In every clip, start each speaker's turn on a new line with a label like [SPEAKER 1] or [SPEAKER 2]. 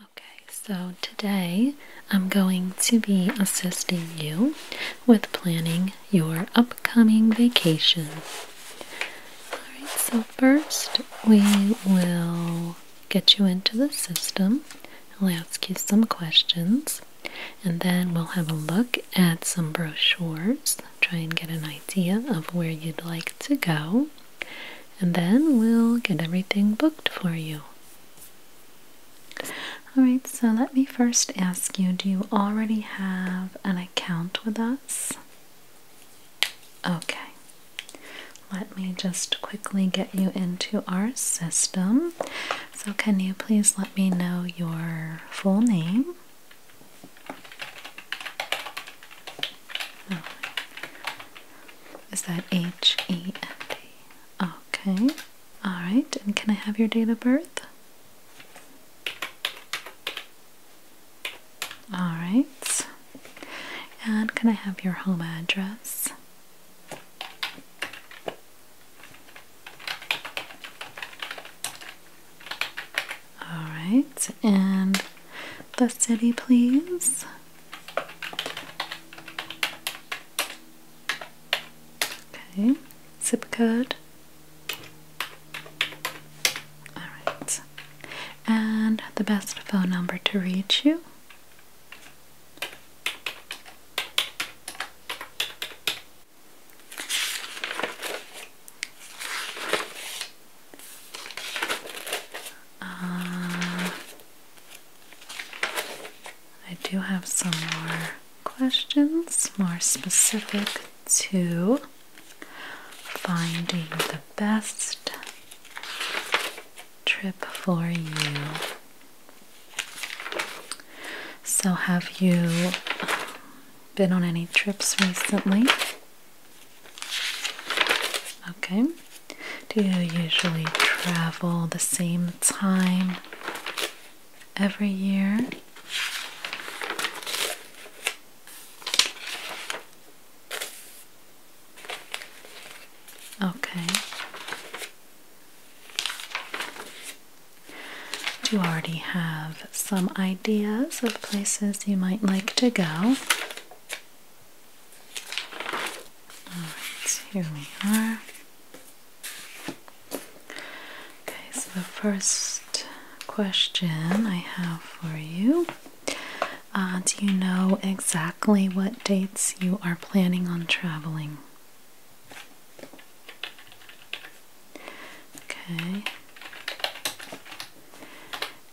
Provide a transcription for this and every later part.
[SPEAKER 1] Okay, so today I'm going to be assisting you with planning your upcoming vacation. Alright, so first we will get you into the system. ask you some questions and then we'll have a look at some brochures, try and get an idea of where you'd like to go and then we'll get everything booked for you. Alright, so let me first ask you do you already have an account with us? Okay, let me just quickly get you into our system. So, can you please let me know your full name? Oh Is that H E N D? Okay. All right. And can I have your date of birth? All right. And can I have your home address? All right. And the city, please. Okay, zip code. Alright. And the best phone number to reach you. Uh, I do have some more questions, more specific to finding the best trip for you. So, have you um, been on any trips recently? Okay. Do you usually travel the same time every year? Okay. Do you already have some ideas of places you might like to go? Alright, here we are. Okay, so the first question I have for you uh, Do you know exactly what dates you are planning on traveling? Okay.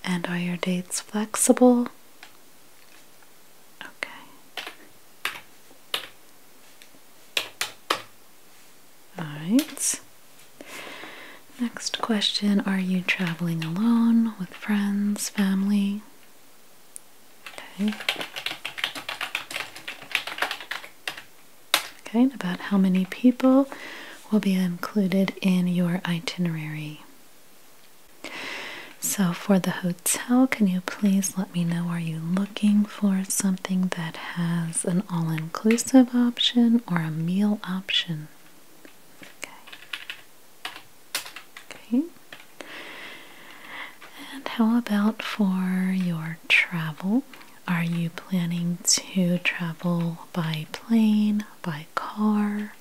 [SPEAKER 1] And are your dates flexible? Okay. Alright. Next question Are you traveling alone with friends, family? Okay. Okay, about how many people will be included in your itinerary? So, for the hotel, can you please let me know? Are you looking for something that has an all inclusive option or a meal option? Okay. Okay. And how about for your travel? Are you planning to travel by plane, by car,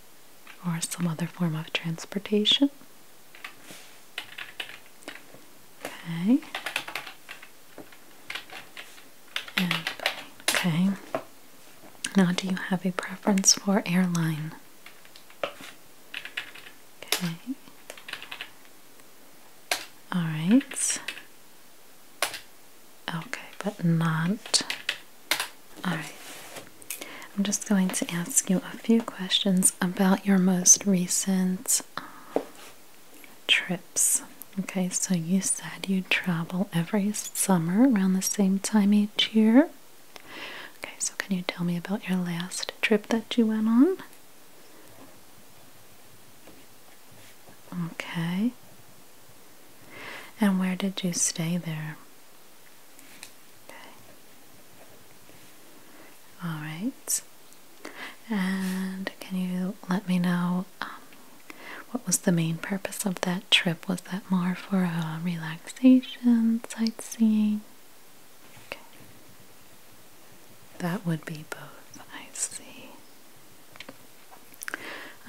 [SPEAKER 1] or some other form of transportation. Okay. okay. Now, do you have a preference for airline? Okay. All right. Okay, but not Alright, I'm just going to ask you a few questions about your most recent uh, trips. Okay, so you said you travel every summer around the same time each year. Okay, so can you tell me about your last trip that you went on? Okay. And where did you stay there? Okay. All right. And can you let me know um, what was the main purpose of that trip? Was that more for relaxation, sightseeing? Okay. That would be both, I see.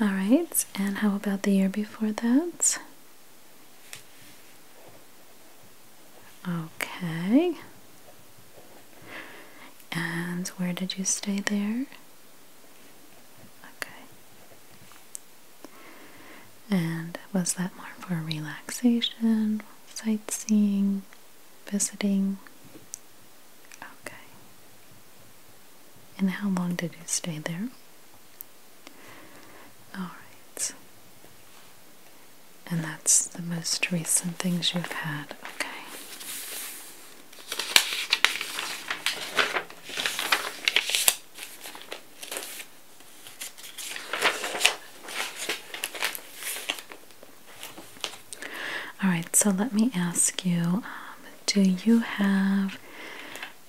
[SPEAKER 1] All right. And how about the year before that? Okay. And where did you stay there? Okay. And was that more for relaxation, sightseeing, visiting? Okay. And how long did you stay there? Alright. And that's the most recent things you've had, okay. Alright, so let me ask you um, do you have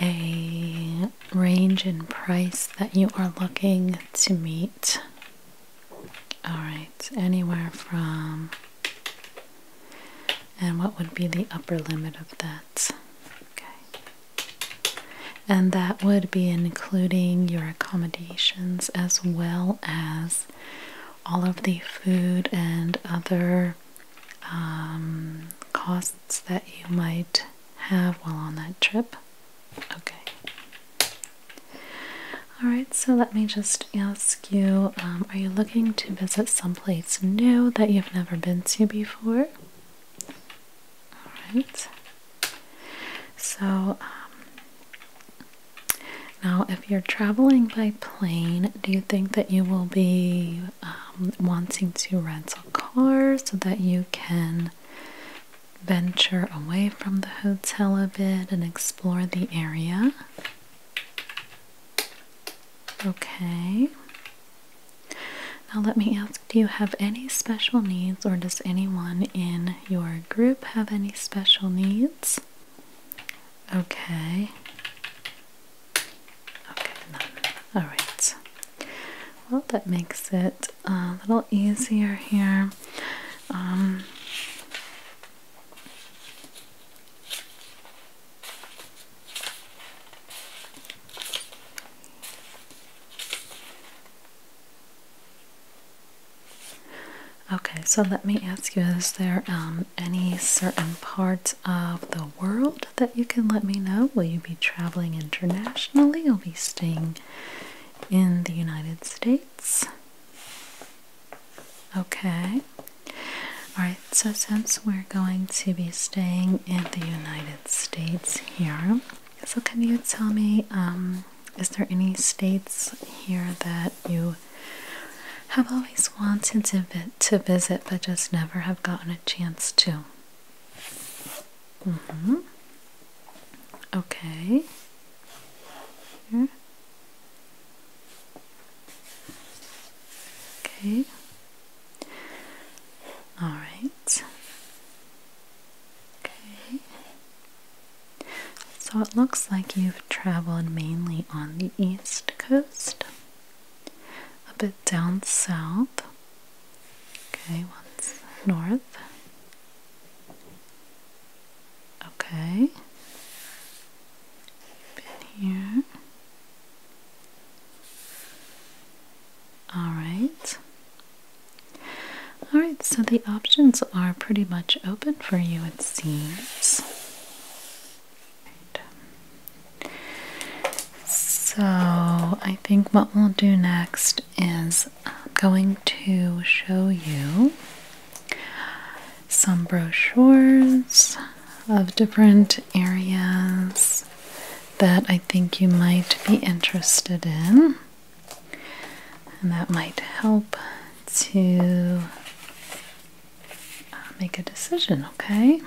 [SPEAKER 1] a range in price that you are looking to meet. All right, anywhere from. And what would be the upper limit of that? Okay. And that would be including your accommodations as well as all of the food and other um, costs that you might have while on that trip. Okay. Alright, so let me just ask you um, are you looking to visit some place new that you've never been to before? Alright. So, um, now if you're traveling by plane, do you think that you will be um, wanting to rent a car so that you can venture away from the hotel a bit and explore the area. Okay. Now, let me ask do you have any special needs, or does anyone in your group have any special needs? Okay. Okay, All right. Well, that makes it a little easier here. Um, okay, so let me ask you is there um, any certain parts of the world that you can let me know? Will you be traveling internationally? You'll be staying in the United States. Okay. Alright, so since we're going to be staying in the United States here, so can you tell me, um, is there any states here that you have always wanted to, to visit but just never have gotten a chance to? Mm hmm Okay. Here. Okay. All right. Okay. So it looks like you've traveled mainly on the East Coast, a bit down south, Okay, one's north. Okay. Been here. All right. All right, so the options are pretty much open for you, it seems. So, I think what we'll do next is I'm going to show you some brochures of different areas that I think you might be interested in, and that might help to uh, make a decision, okay?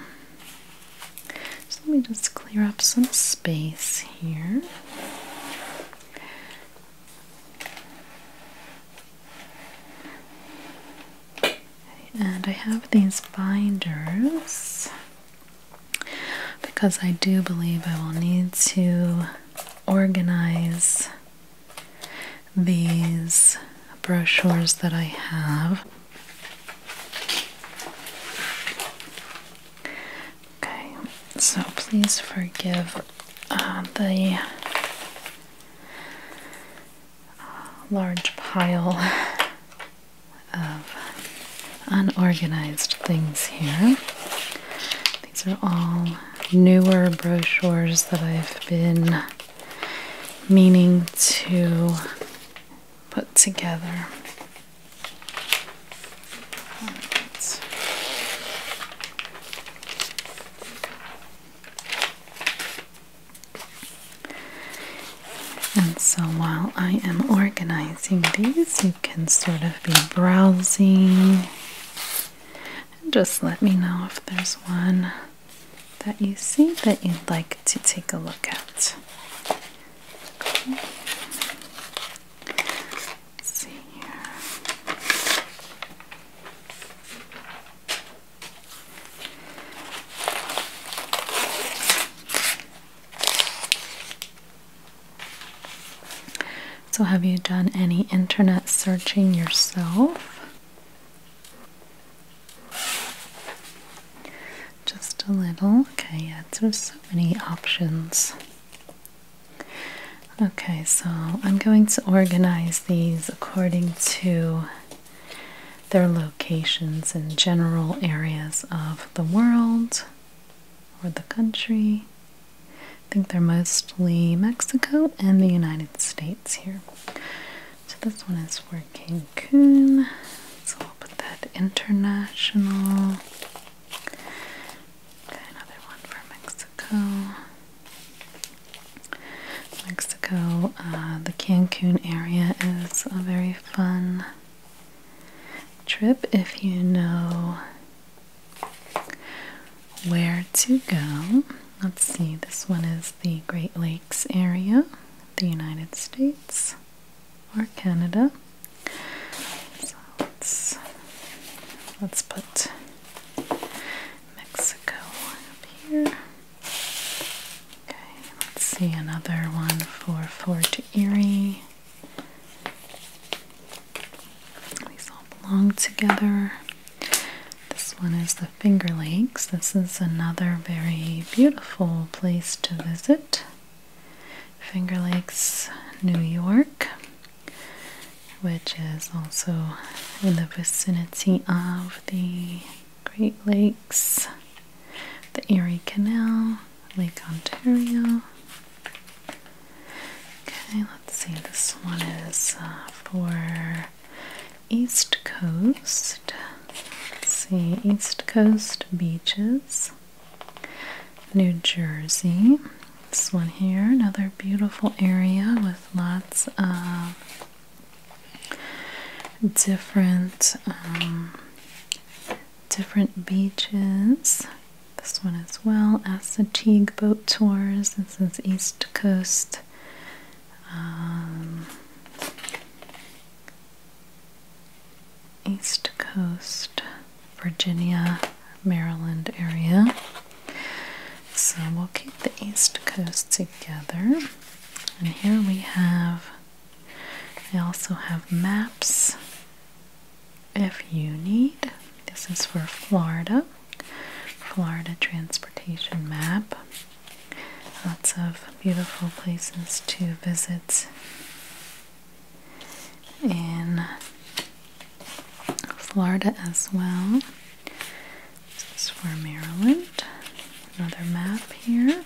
[SPEAKER 1] So let me just clear up some space here. And I have these binders because I do believe I will need to organize these brochures that I have. Okay, so please forgive uh, the uh, large pile of unorganized things here. These are all newer brochures that I've been meaning to put together. And so while I am organizing these, you can sort of be browsing. And just let me know if there's one that you see that you'd like to take a look at. So, have you done any internet searching yourself? Just a little. Okay, yeah, there's so many options. Okay, so I'm going to organize these according to their locations in general areas of the world or the country. I think they're mostly Mexico and the United States here. So this one is for Cancun. So I'll put that international. Okay, another one for Mexico. Mexico, uh, the Cancun area is a very fun trip if you know where to go. Let's see, this one is the Great Lakes area, the United States or Canada. So let's let's put Mexico up here. Okay, let's see another one for Fort Erie. These all belong together. This one is the Finger Lakes. This is another very beautiful place to visit. Finger Lakes, New York, which is also in the vicinity of the Great Lakes, the Erie Canal, Lake Ontario. Okay, let's see, this one is uh, for East Coast. Let's see, East Coast beaches. New Jersey. This one here, another beautiful area with lots of different um, different beaches. This one as well. as the Assateague boat tours. This is East Coast. Um, East Coast, Virginia, Maryland area. So we'll keep the East Coast together. And here we have, We also have maps if you need. This is for Florida, Florida transportation map. Lots of beautiful places to visit in Florida as well. This is for Maryland. Another map here,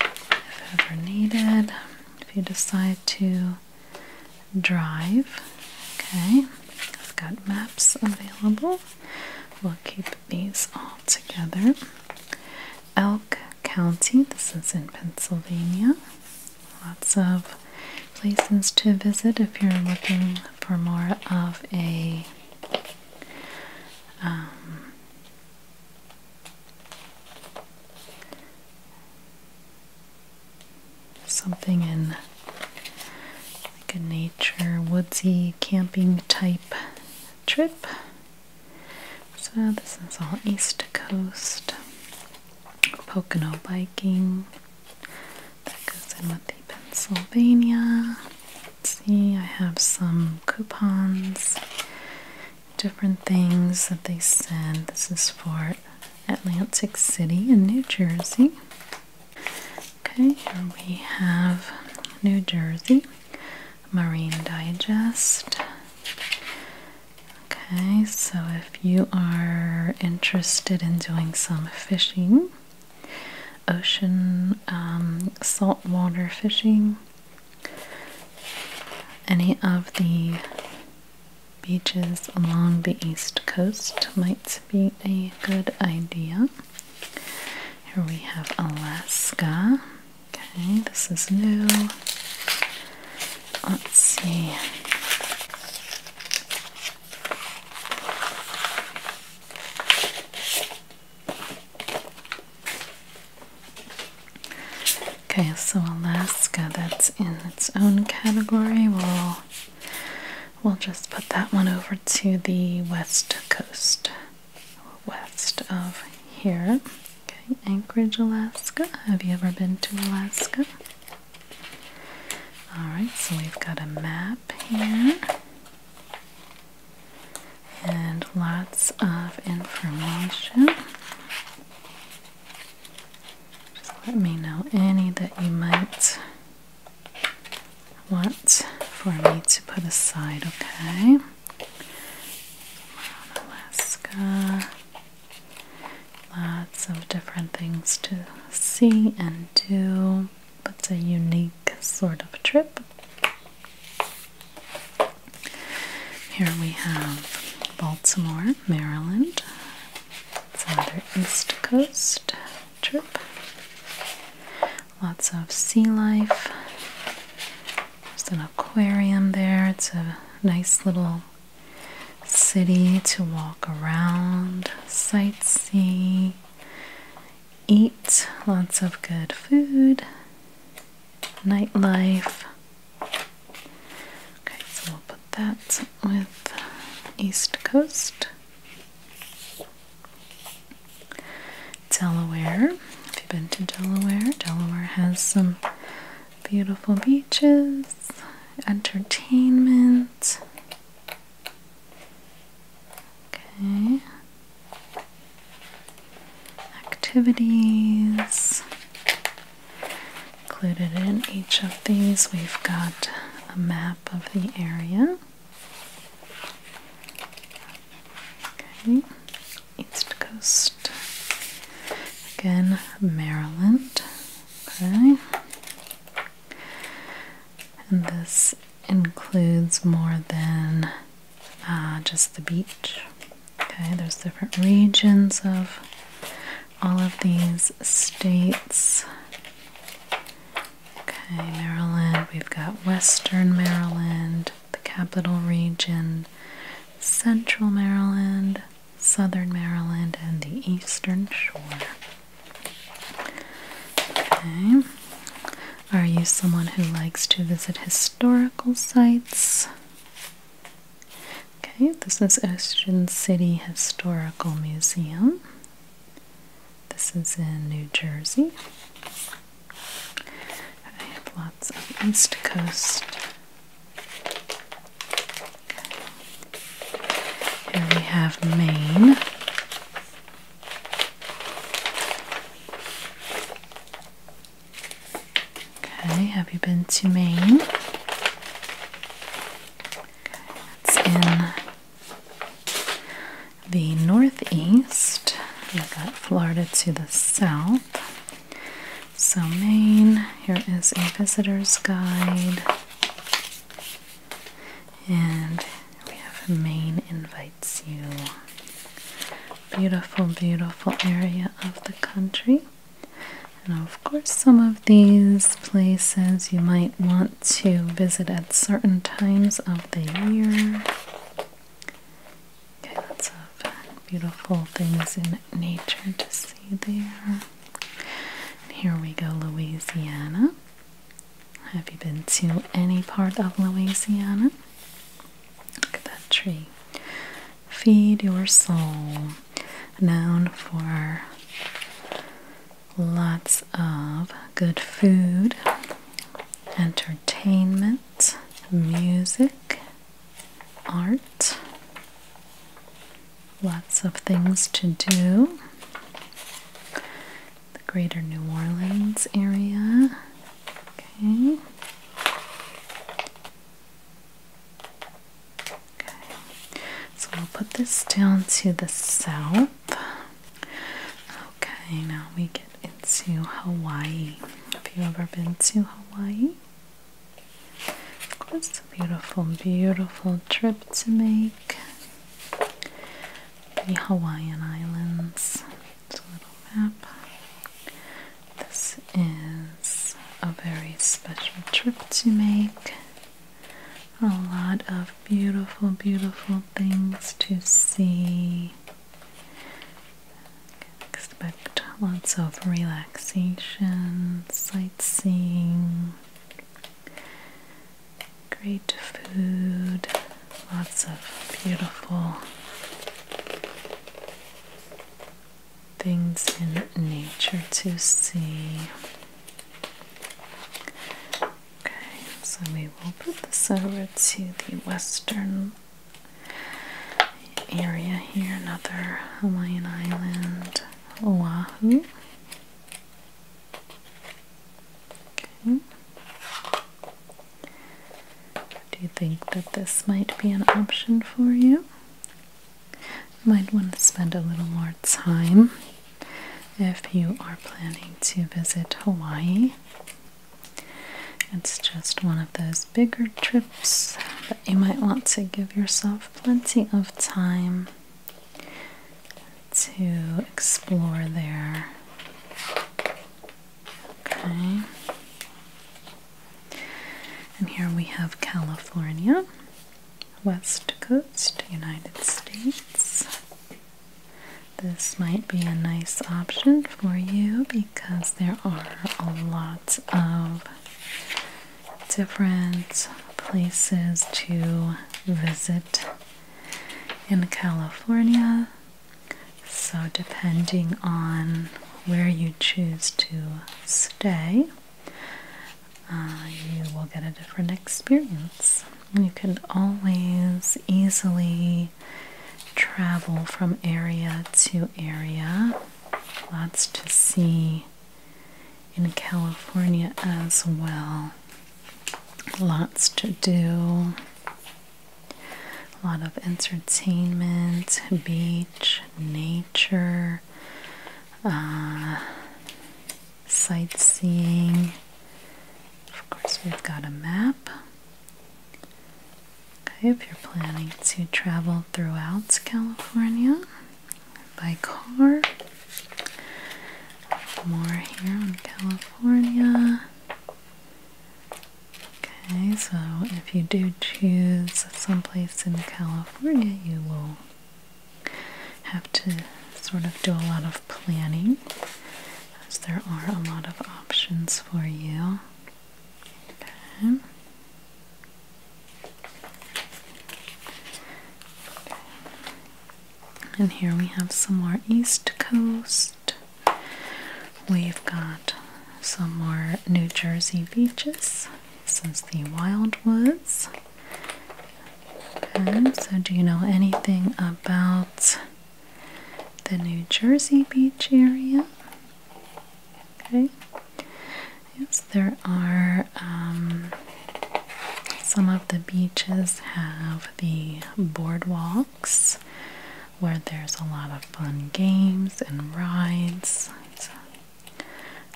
[SPEAKER 1] if ever needed, if you decide to drive. Okay, I've got maps available. We'll keep these all together. Elk County, this is in Pennsylvania. Lots of places to visit if you're looking for more of a um, something in like a nature woodsy camping type trip. So this is all East Coast. Pocono Biking. That goes in with the Pennsylvania. Let's see, I have some coupons, different things that they send. This is for Atlantic City in New Jersey. Okay, here we have New Jersey, Marine Digest, Okay, so if you are interested in doing some fishing, ocean um, saltwater fishing, any of the beaches along the east coast might be a good idea. Here we have Alaska. Okay, this is new. Let's see. Okay, so Alaska, that's in its own category. We'll we'll just put that one over to the west coast, west of here. Okay, Anchorage, Alaska. Have you ever been to Alaska? Alright, so we've got a map here and lots of information. Just let me know any that you might want for me to put aside, okay? Alaska. Lots of different things to see and do. it's a unique sort of trip. Here we have Baltimore, Maryland. It's another East Coast trip. Lots of sea life. There's an aquarium there. It's a nice little city to walk around, sightsee, eat lots of good food, nightlife. Okay, so we'll put that with East Coast. Delaware. If you've been to Delaware, Delaware has some Beautiful beaches, entertainment. Okay. Activities. Included in each of these, we've got a map of the area. Okay. East Coast. Again, Maryland. Okay. And this includes more than uh, just the beach. Okay, there's different regions of all of these states. Okay, Maryland, we've got Western Maryland, the Capital Region, Central Maryland, southern Maryland and the eastern shore. Okay. Are you someone who likes to visit historical sites? Okay, this is Ocean City Historical Museum. This is in New Jersey. I have lots of East Coast here we have Maine. Okay, have you been to Maine? it's in the northeast. We've got Florida to the south. So, Maine, here is a visitor's guide. And we have Maine Invites You. Beautiful, beautiful area of the country. and of course, some of these places you might want to visit at certain times of the year. Okay, lots of beautiful things in nature to see there here we go, Louisiana. Have you been to any part of Louisiana? Look at that tree. Feed your soul. Known for lots of good food, entertainment, music, art, Lots of things to do. The greater New Orleans area. Okay. Okay. So we'll put this down to the south. Okay, now we get into Hawaii. Have you ever been to Hawaii? It's a beautiful, beautiful trip to make. The Hawaiian Islands. It's a little map. This is a very special trip to make. A lot of beautiful, beautiful things to see. Expect lots of relaxation, Seeing great food, lots of beautiful things in nature to see. Okay, so we will put this over to the western area here, another Hawaiian island. Oahu. Do you think that this might be an option for You might want to spend a little more time if you are planning to visit Hawaii. It's just one of those bigger trips that you might want to give yourself plenty of time to explore there. Okay. And here we have California, West Coast, United States. This might be a nice option for you because there are a lot lots of different places to visit in California. So, depending on where you choose to stay, uh, you will get a different experience. You can always easily travel from area to area. Lots to see in California as well. Lots to do, a lot of entertainment, beach, nature, uh, sightseeing. Of course, we've got a map. Okay, if you're planning to travel throughout California, by car. More here in California. Okay, so if you do choose someplace in California, you will have to sort of do a lot of planning as there are a lot of options for you. Okay. And here we have some more East Coast. We've got some more New Jersey beaches. This is the Wildwoods. Okay, so do you know anything about the New Jersey beach area? Okay. Yes, there are um, some of the beaches have the boardwalks where there's a lot of fun games and rides,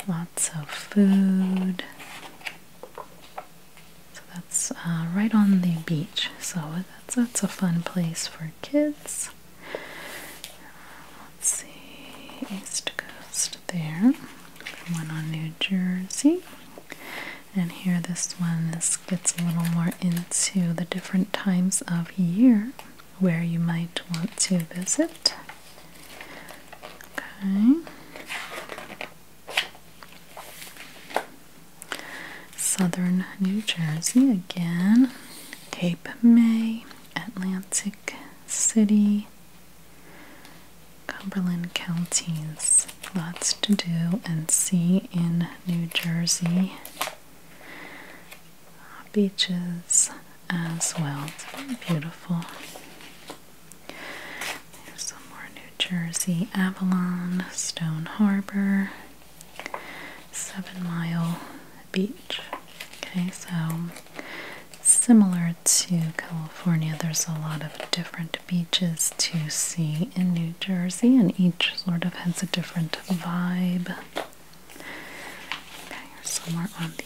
[SPEAKER 1] lots of food. So that's uh, right on the beach, so that's a fun place for kids. Let's see, East Coast there. One on New Jersey. And here, this one this gets a little more into the different times of year where you might want to visit. Okay. Southern New Jersey again, Cape May, Atlantic City, Cumberland counties. Lots to do and see in New Jersey. Beaches as well. It's beautiful. There's some more New Jersey. Avalon, Stone Harbor, Seven Mile Beach. Okay, so Similar to California, there's a lot of different beaches to see in New Jersey, and each sort of has a different vibe. Okay, somewhere on the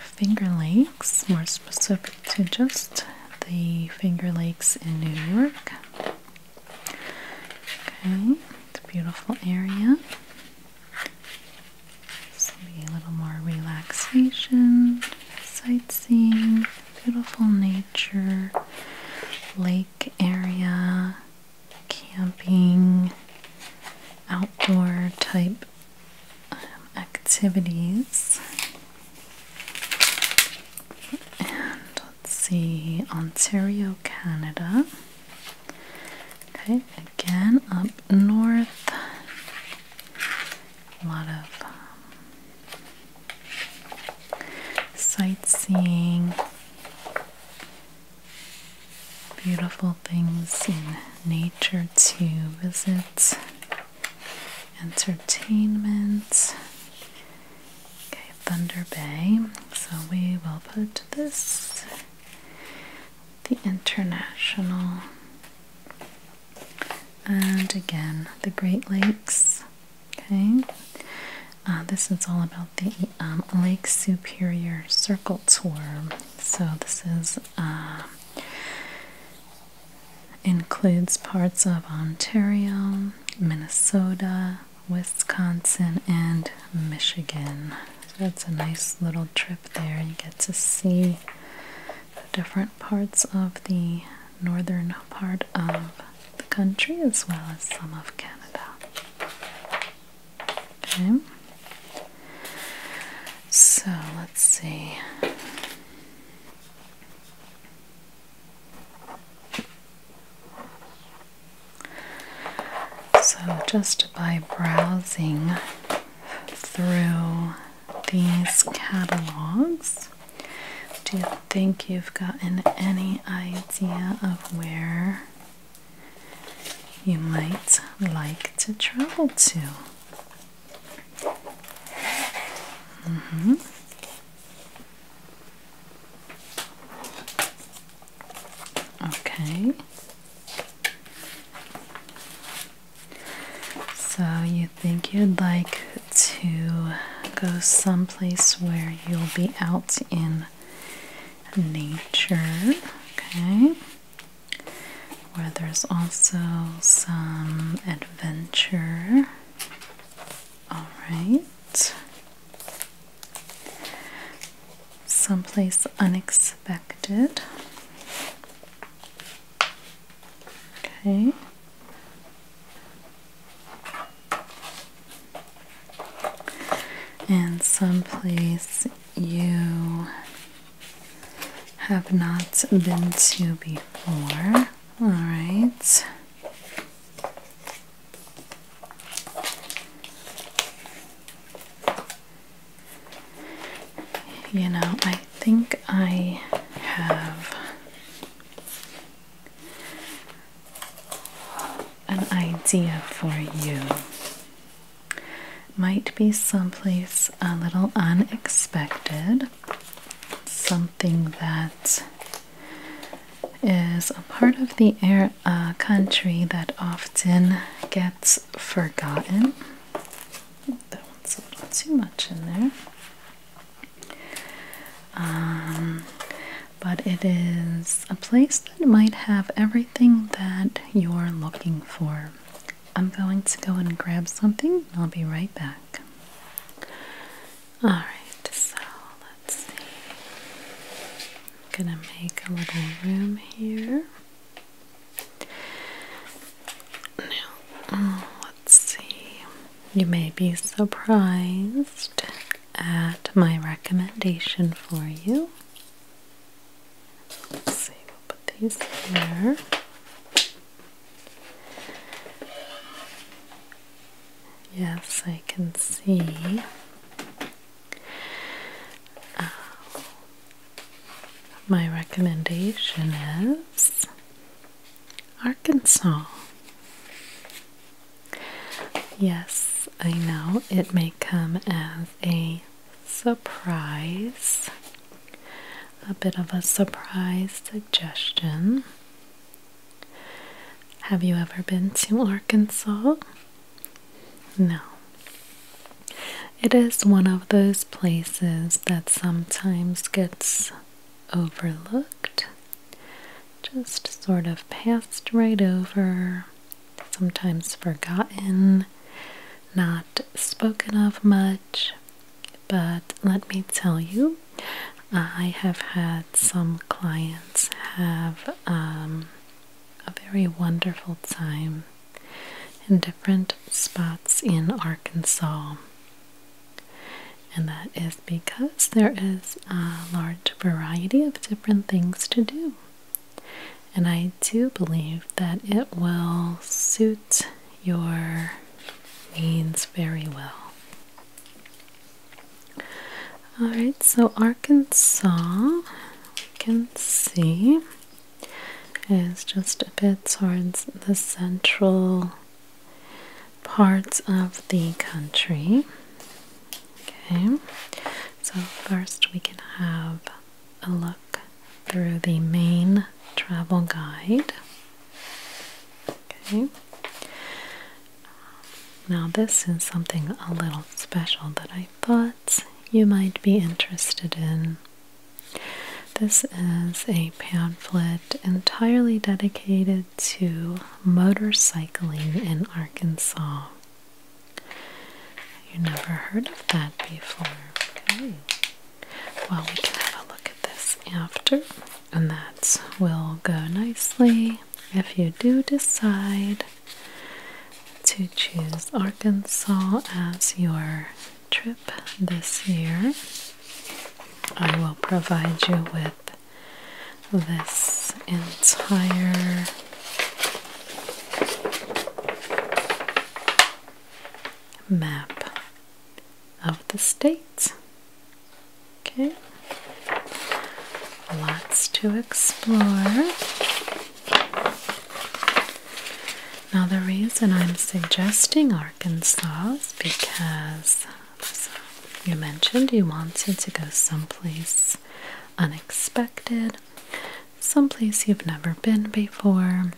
[SPEAKER 1] Finger Lakes, more specific to just the Finger Lakes in New York. Okay, it's a beautiful area. So maybe a little more relaxation, sightseeing, beautiful nature, lake area, camping, outdoor type um, activities. And let's see, Ontario, Canada. Okay, again up north. A lot of um, sightseeing, beautiful things in nature to visit, entertainment. Okay, Thunder Bay. So we will put this the international and again, the Great Lakes. Okay, uh, this is all about the um, Lake Superior Circle Tour. So this is um, includes parts of Ontario, Minnesota, Wisconsin, and Michigan. So it's a nice little trip there. You get to see the different parts of the northern part of the country as well as some of Canada. Okay. So let's see. So, just by browsing through these catalogs. Do you think you've gotten any idea of where you might like to travel to? Mm hmm. Okay. So you think you'd like to go someplace where you'll be out in nature, okay? Where there's also some adventure. All right. Someplace unexpected. Okay. And someplace you have not been to before. All right. You know, I think I have an idea for you. Might be someplace a little unexpected, something that is a part of the air uh, country that often gets forgotten that one's a little too much in there. Um, but it is a place that might have everything that you're looking for. I'm going to go and grab something, I'll be right back. Alright, so let's see. I'm gonna make a little room here. Now, mm, let's see. You may be surprised at my recommendation for you. Let's see, we'll put these here. Yes, I can see. Uh, my recommendation is Arkansas. Yes, I know it may come as a surprise, a bit of a surprise suggestion. Have you ever been to Arkansas? No. It is one of those places that sometimes gets overlooked, just sort of passed right over, sometimes forgotten, not spoken of much. But let me tell you, I have had some clients have um, a very wonderful time in different spots in Arkansas. And that is because there is a large variety of different things to do. And I do believe that it will suit your needs very well. Alright, so Arkansas, we can see is just a bit towards the central parts of the country. Okay, so first we can have a look through the main travel guide. Okay. Now, this is something a little special that I thought you might be interested in. This is a pamphlet entirely dedicated to motorcycling in Arkansas. You never heard of that before. Well, we can have a look at this after, and that will go nicely if you do decide to choose Arkansas as your trip this year. I will provide you with this entire map of the states. Okay, lots to explore. Now, the reason I'm suggesting our Arkansas because, you mentioned, you wanted to go someplace unexpected, someplace you've never been before.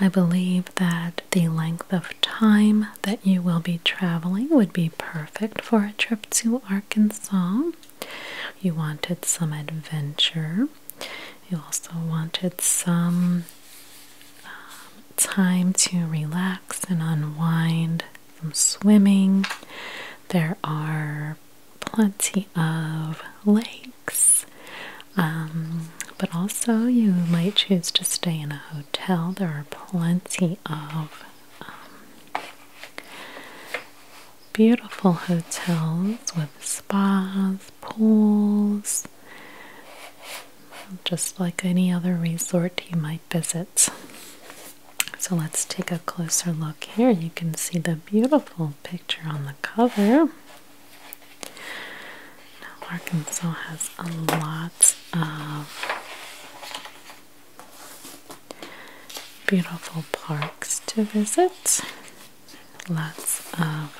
[SPEAKER 1] I believe that the length of time that you will be traveling would be perfect for a trip to Arkansas. You wanted some adventure. You also wanted some uh, time to relax and unwind from swimming. There are plenty of lakes, um, but also you might choose to stay in a hotel. There are plenty of um, beautiful hotels with spas, pools, just like any other resort you might visit. So let's take a closer look here. You can see the beautiful picture on the cover. Now, Arkansas has a lot of beautiful parks to visit, lots of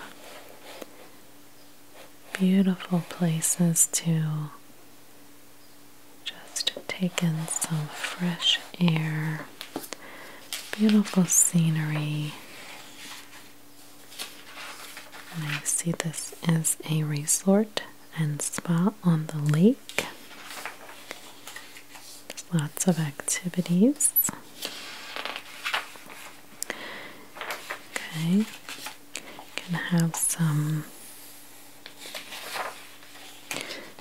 [SPEAKER 1] beautiful places to just take in some fresh air, beautiful scenery. I see this is a resort and spa on the lake. There's lots of activities. Okay, can have some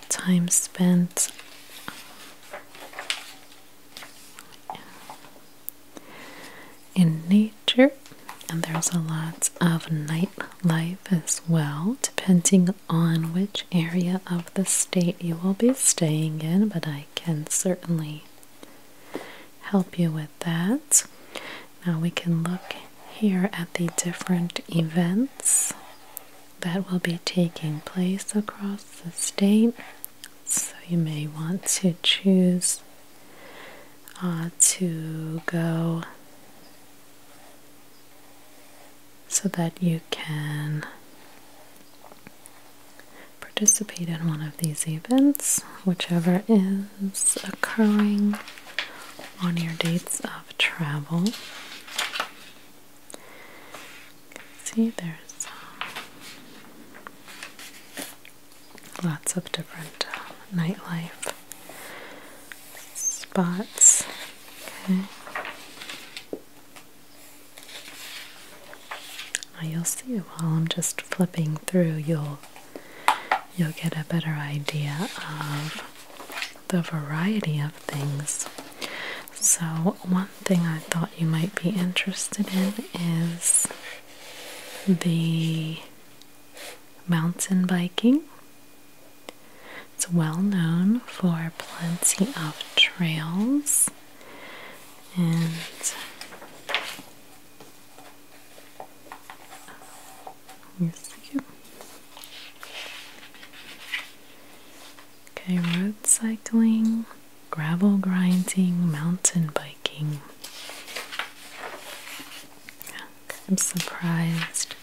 [SPEAKER 1] time spent in nature, and there's a lot of nightlife as well, depending on which area of the state you will be staying in. But I can certainly help you with that. Now we can look here at the different events that will be taking place across the state. So you may want to choose uh, to go so that you can participate in one of these events, whichever is occurring on your dates of travel. See, there's um, lots of different uh, nightlife spots. Okay. Now you'll see while I'm just flipping through you'll you'll get a better idea of the variety of things. So one thing I thought you might be interested in is the mountain biking. It's well known for plenty of trails and yes, you. Okay, road cycling, gravel grinding, mountain biking. I'm surprised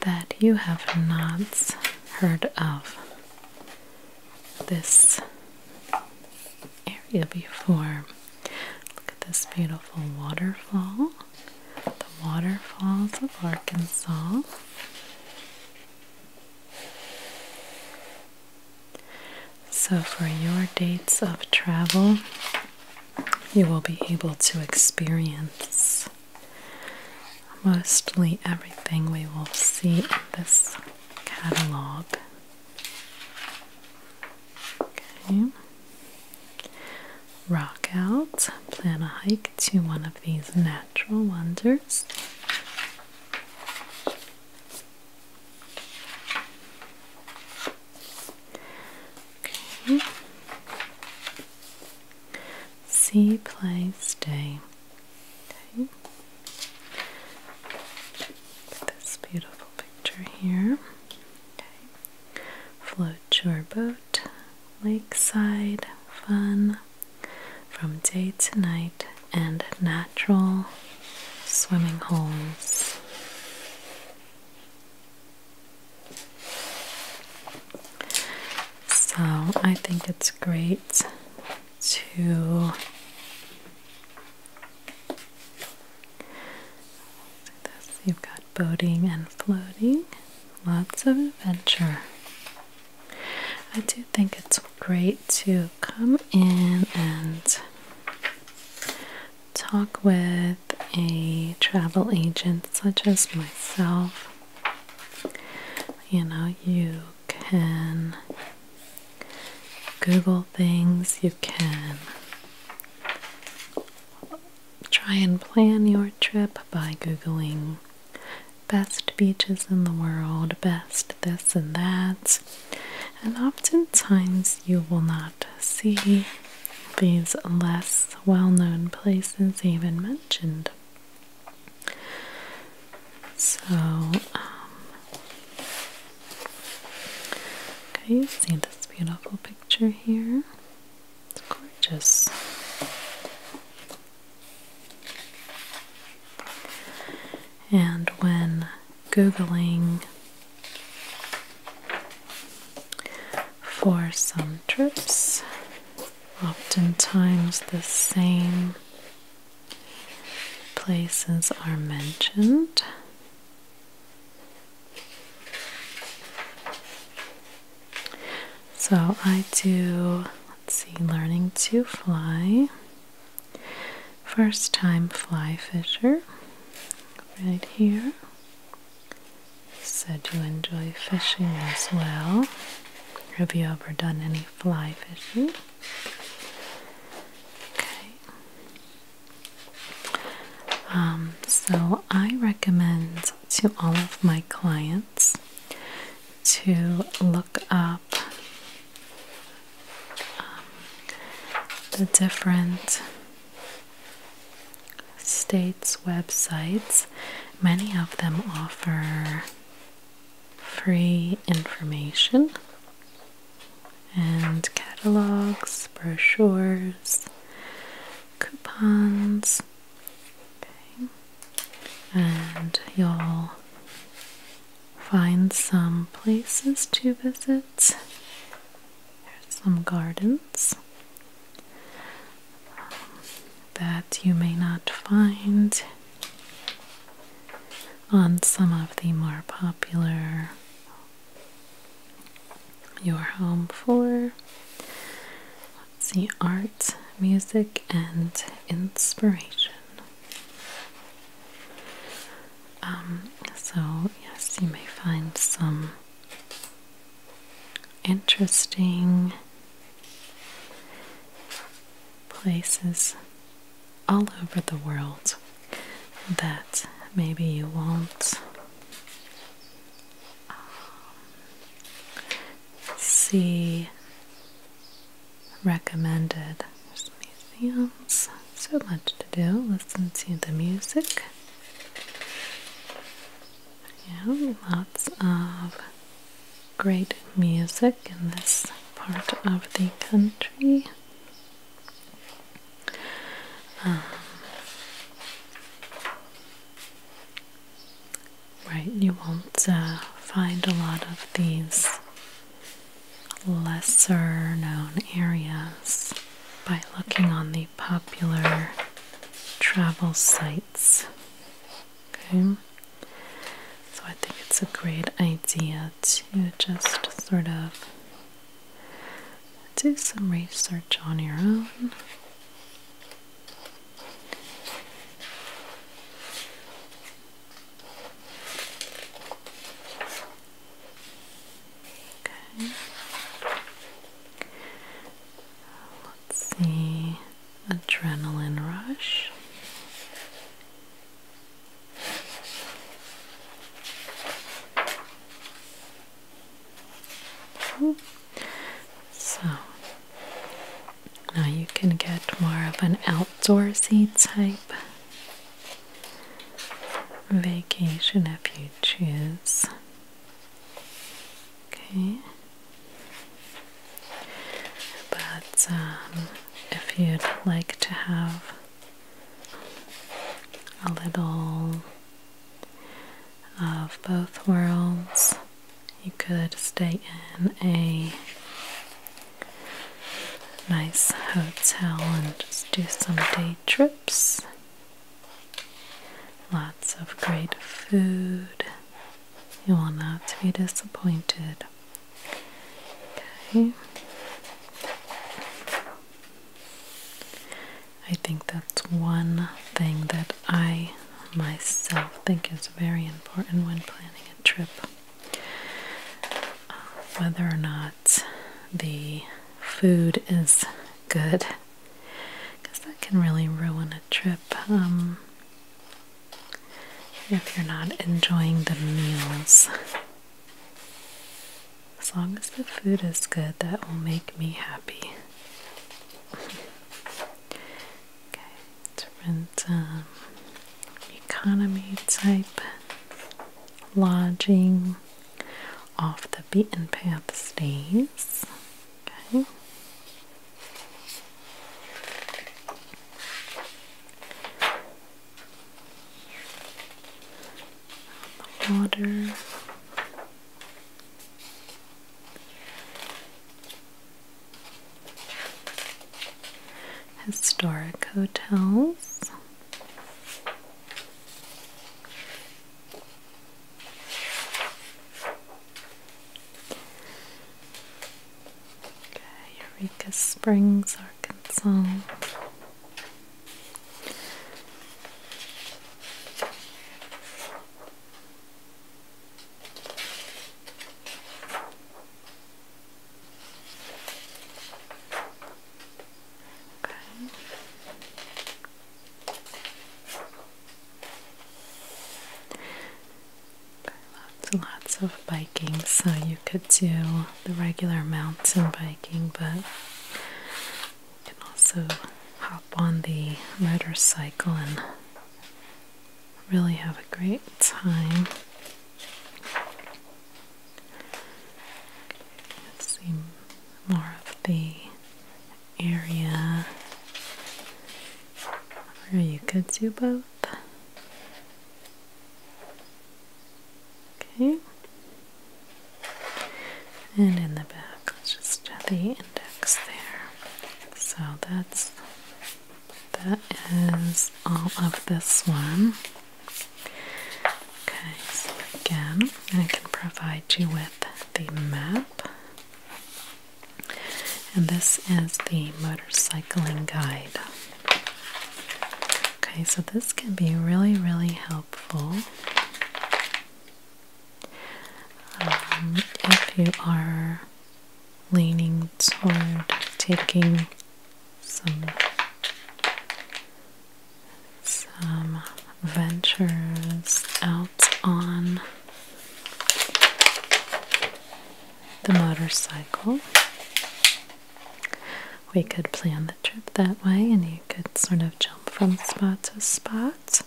[SPEAKER 1] that you have not heard of this area before. Look at this beautiful waterfall. The waterfalls of Arkansas. So, for your dates of travel, you will be able to experience mostly everything we will see in this catalog. Okay. Rock out, plan a hike to one of these natural wonders. Okay. See, play, stay. Okay. This beautiful picture here. Float your boat, lakeside, fun, from day to night, and natural swimming holes. So I think it's great to you've got boating and floating, lots of adventure. I do think it's great to come in and talk with a travel agent such as myself. You know, you can Google things, you can try and plan your trip by Googling best beaches in the world, best this and that. And oftentimes you will not see these less well known places even mentioned. So, um, okay, you see this beautiful picture here. It's gorgeous. And when Googling for some trips, oftentimes the same places are mentioned. So I do, let's see, learning to fly, first time fly fisher, right here. said you enjoy fishing as well. Have you ever done any fly fishing? Okay, um, so, I recommend to all of my clients to look up um, the different states' websites. Many of them offer free information and catalogs, brochures, coupons. And you'll find some places to visit. There's some gardens um, that you may not find on some of the more popular your home for let's see art, music, and inspiration. Um, so, yes, you may find some interesting places all over the world that maybe you won't um, see recommended. museums, so much to do. Listen to the music. Yeah, lots of great music in this part of the country. Ah. right, you won't uh, find a lot of these lesser known areas by looking on the popular travel sites. Okay. So I think it's a great idea to just sort of do some research on your own. Okay. Let's see. Adrenaline rush. So now you can get more of an outdoorsy type vacation if you choose. Okay. But um, if you'd like to have a little of both worlds. You could stay in a nice hotel and just do some day trips. Lots of great food. You will not be disappointed. Okay. I think that's one thing that I myself think is very important when planning a trip. Uh, whether or not the food is good, because that can really ruin a trip. Um, if you're not enjoying the meals, as long as the food is good, that will make me happy. okay, different um, economy type, lodging, off the beaten path stays. Okay water. Historic hotels. Eureka Springs, Arkansas lots lots of biking, so you could do the regular mountain biking, but you can also hop on the motorcycle and really have a great time. see more of the area where you could do both. Okay. And in the back, let's just have the index there. So that's that is all of this one. Okay, so again, I can provide you with the map. And this is the motorcycling guide. Okay, so this can be really, really helpful um, if you are leaning toward taking some some ventures out on the motorcycle we could plan the trip that way and you could sort of jump from spot to spot.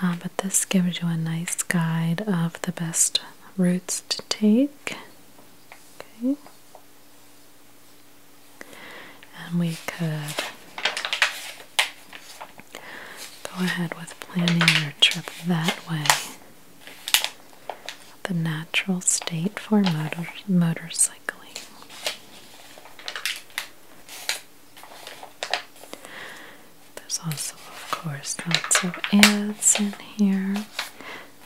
[SPEAKER 1] Uh, but this gives you a nice guide of the best routes to take. Okay. And we could go ahead with planning your trip that way. The natural state for motor motorcycles. There's also, of course, lots of ads in here.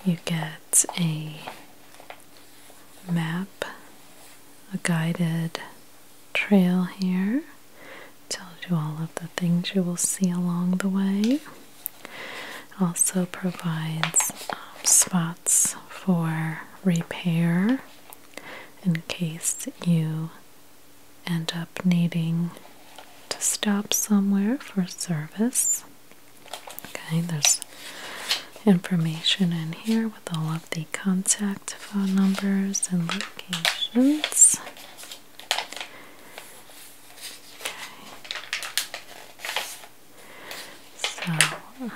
[SPEAKER 1] You get a map, a guided trail here, tells you all of the things you will see along the way. Also provides um, spots for repair in case you end up needing to stop somewhere for service. Okay, there's information in here with all of the contact phone numbers and locations. So it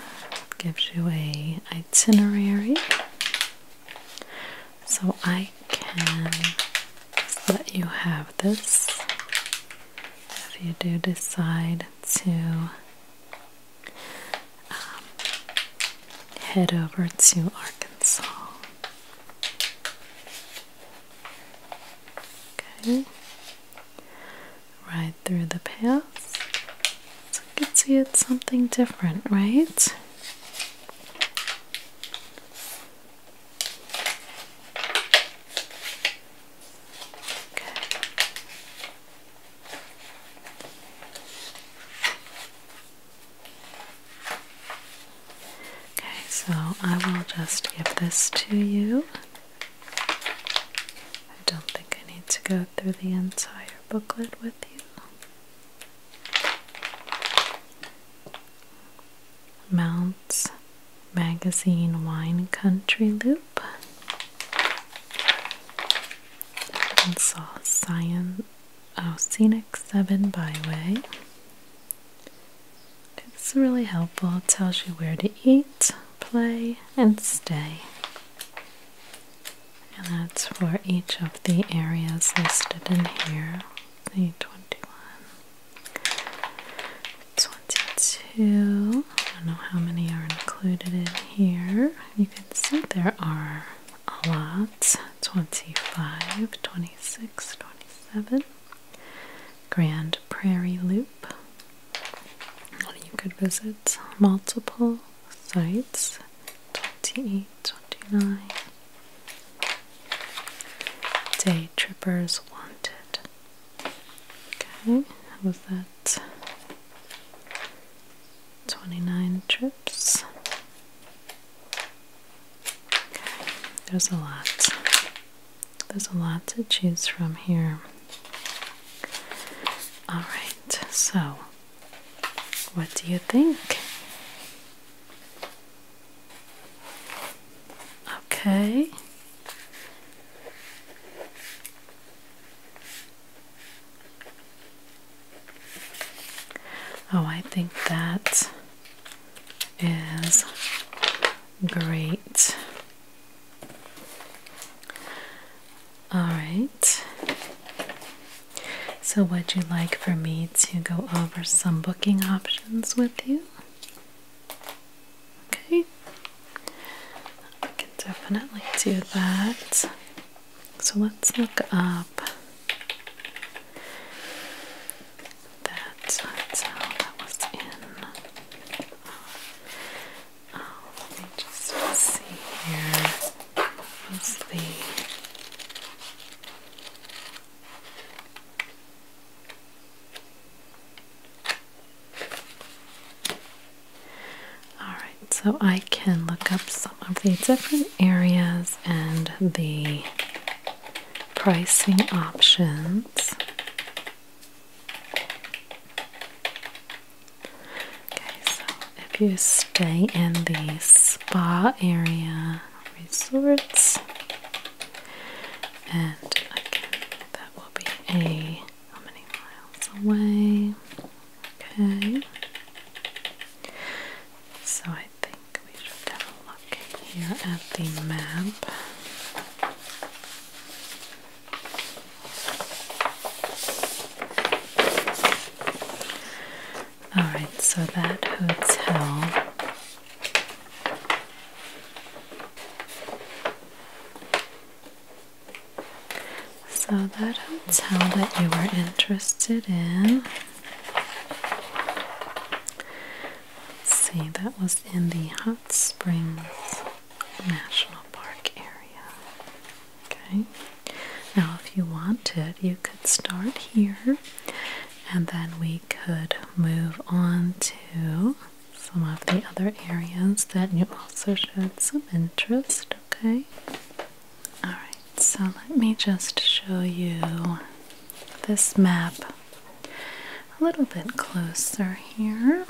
[SPEAKER 1] gives you a itinerary. So I can let you have this if you do decide to um, head over to Arkansas. Okay. Right through the path, So you can see it's something different, right? Okay. Okay, so I will just give this to you I don't think I need to go through the entire booklet with you. Mounts Magazine Wine Country Loop. And saw Science, oh, Scenic 7 Byway. It's really helpful, it tells you where to eat play, and stay. And that's for each of the areas listed in here 21, 22. I don't know how many are included in here. You can see there are a lot 25, 26, 27. Grand Prairie Loop, you could visit multiple sites 28, 29. Day Trippers Wanted. Okay, was that 29 trips? Okay, there's a lot. There's a lot to choose from here. Alright, so what do you think? Okay. Oh, I think that is great. All right. So, would you like for me to go over some booking options with you? Okay. I can definitely do that. So, let's look up that hotel that was in uh, let me just see here. What's Alright, so I can look up some of the different areas and the pricing options. Okay, so if you stay in the spa area resorts, and again, that will be a how many miles away? Okay, so I think we should have a look here at the map. All right, so that hotel so that hotel that you were interested in see that was in the hot springs National Park area. Okay. Now, if you wanted, you could start here and then we could move on to some of the other areas that you also showed some interest. Okay. Alright, so let me just show you this map a little bit closer here.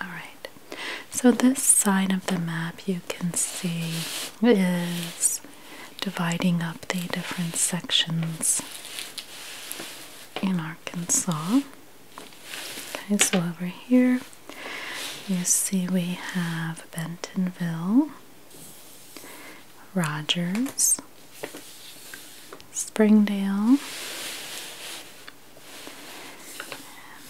[SPEAKER 1] Alright, so this side of the map you can see is dividing up the different sections in Arkansas. Okay, so over here you see we have Bentonville, Rogers, Springdale.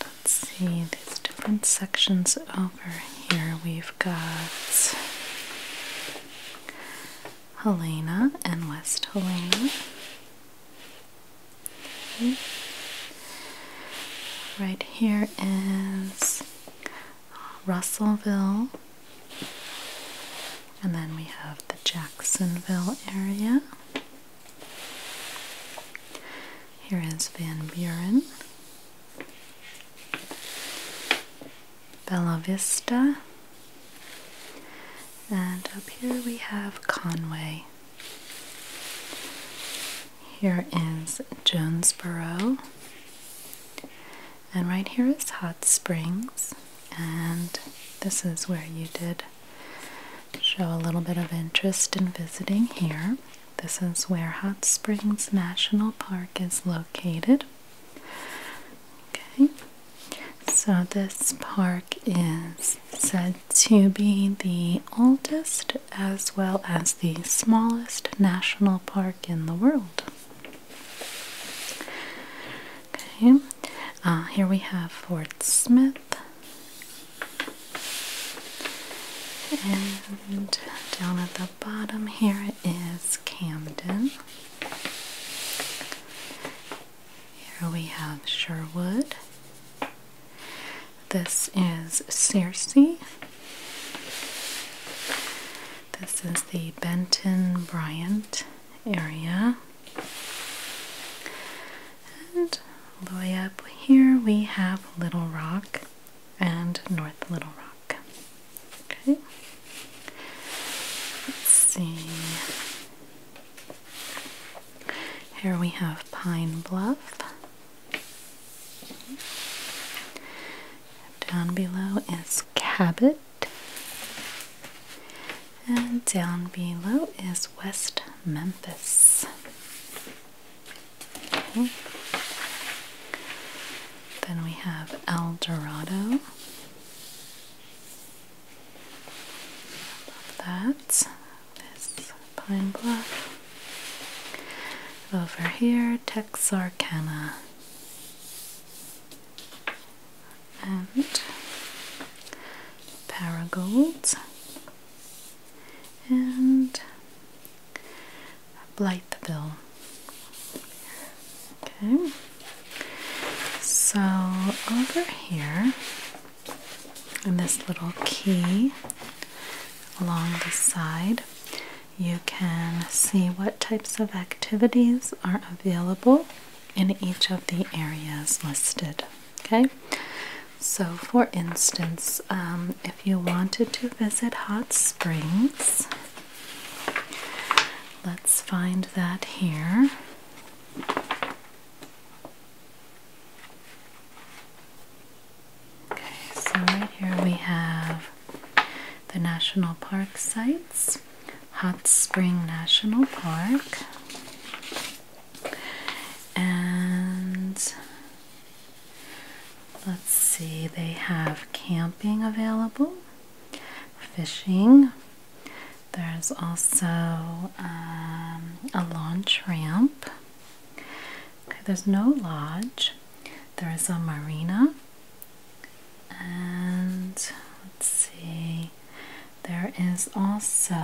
[SPEAKER 1] let's see these different sections over here. We've got Helena and West Helena. Right here is Russellville and then we have the Jacksonville area. Here is Van Buren, Bella Vista, and up here we have Conway. Here is Jonesboro, and right here is Hot Springs, and this is where you did show a little bit of interest in visiting here. This is where Hot Springs National Park is located. Okay, so this park is said to be the oldest as well as the smallest national park in the world. Okay, uh, here we have Fort Smith and down at the bottom here is Camden. Here we have Sherwood. This is Searcy. This is the Benton Bryant area. And all the way up here we have Little Rock and North Little Rock. Okay. Let's see. Here we have Pine Bluff. Down below is Cabot. And down below is West Memphis. Then we have El Dorado. This Pine Bluff. Over here, Texarkana and paragolds and blight the bill. Okay, so over here in this little key along the side, you can see what types of activities are available in each of the areas listed. Okay, so for instance, um, if you wanted to visit hot springs, let's find that here. Okay, so right here we have the national park sites. Hot Spring National Park. And let's see, they have camping available, fishing. There's also um, a launch ramp. there's no lodge. There is a marina and let's see, there is also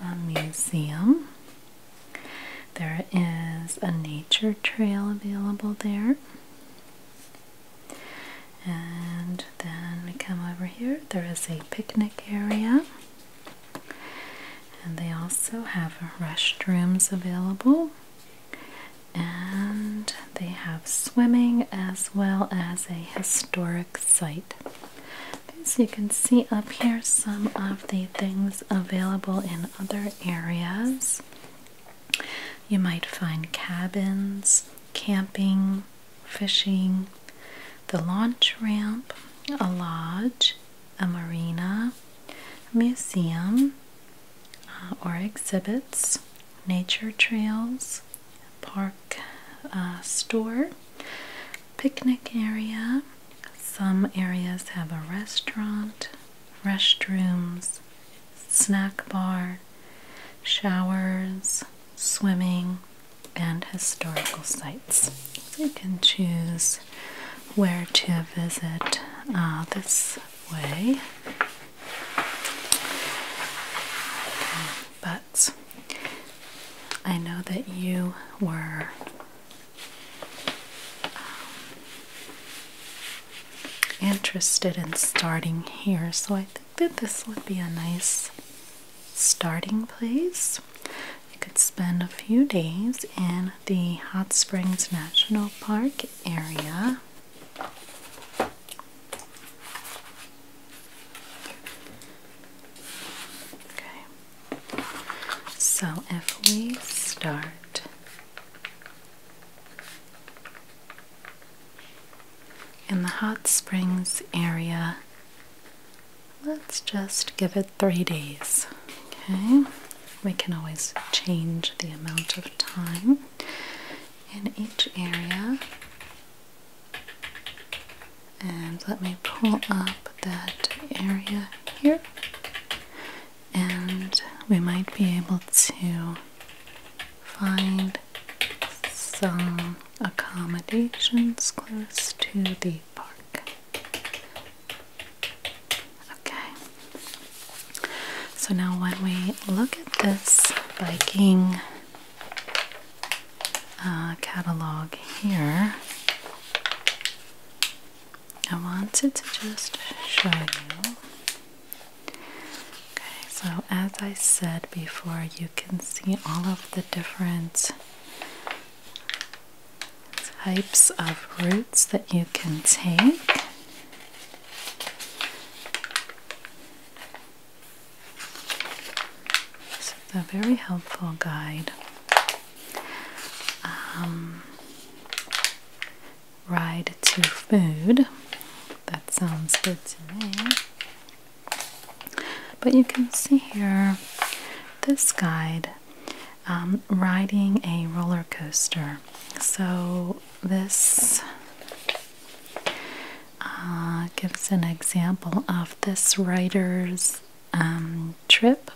[SPEAKER 1] a museum. There is a nature trail available there. And then we come over here, there is a picnic area. And they also have restrooms available. And they have swimming as well as a historic site. As you can see up here, some of the things available in other areas. You might find cabins, camping, fishing, the launch ramp, a lodge, a marina, museum uh, or exhibits, nature trails, park uh, store, picnic area. Some areas have a restaurant, restrooms, snack bar, showers, swimming, and historical sites. So you can choose where to visit uh, this way. But I know that you were um, interested in starting here, so I think that this would be a nice starting place. You could spend a few days in the Hot Springs National Park area. Okay. So if we start in the hot springs area, let's just give it three days. Okay. We can always change the amount of time in each area. And let me pull up that area here. And we might be able to find some accommodations close to the park. Okay. So now when we look at this biking uh, catalog here, I wanted to just show you. Okay, so as I said before, you can see all of the different types of routes that you can take. It's a very helpful guide. Um, ride to food. That sounds good to me. But you can see here this guide um, riding a roller coaster. So this uh, gives an example of this writer's um, trip.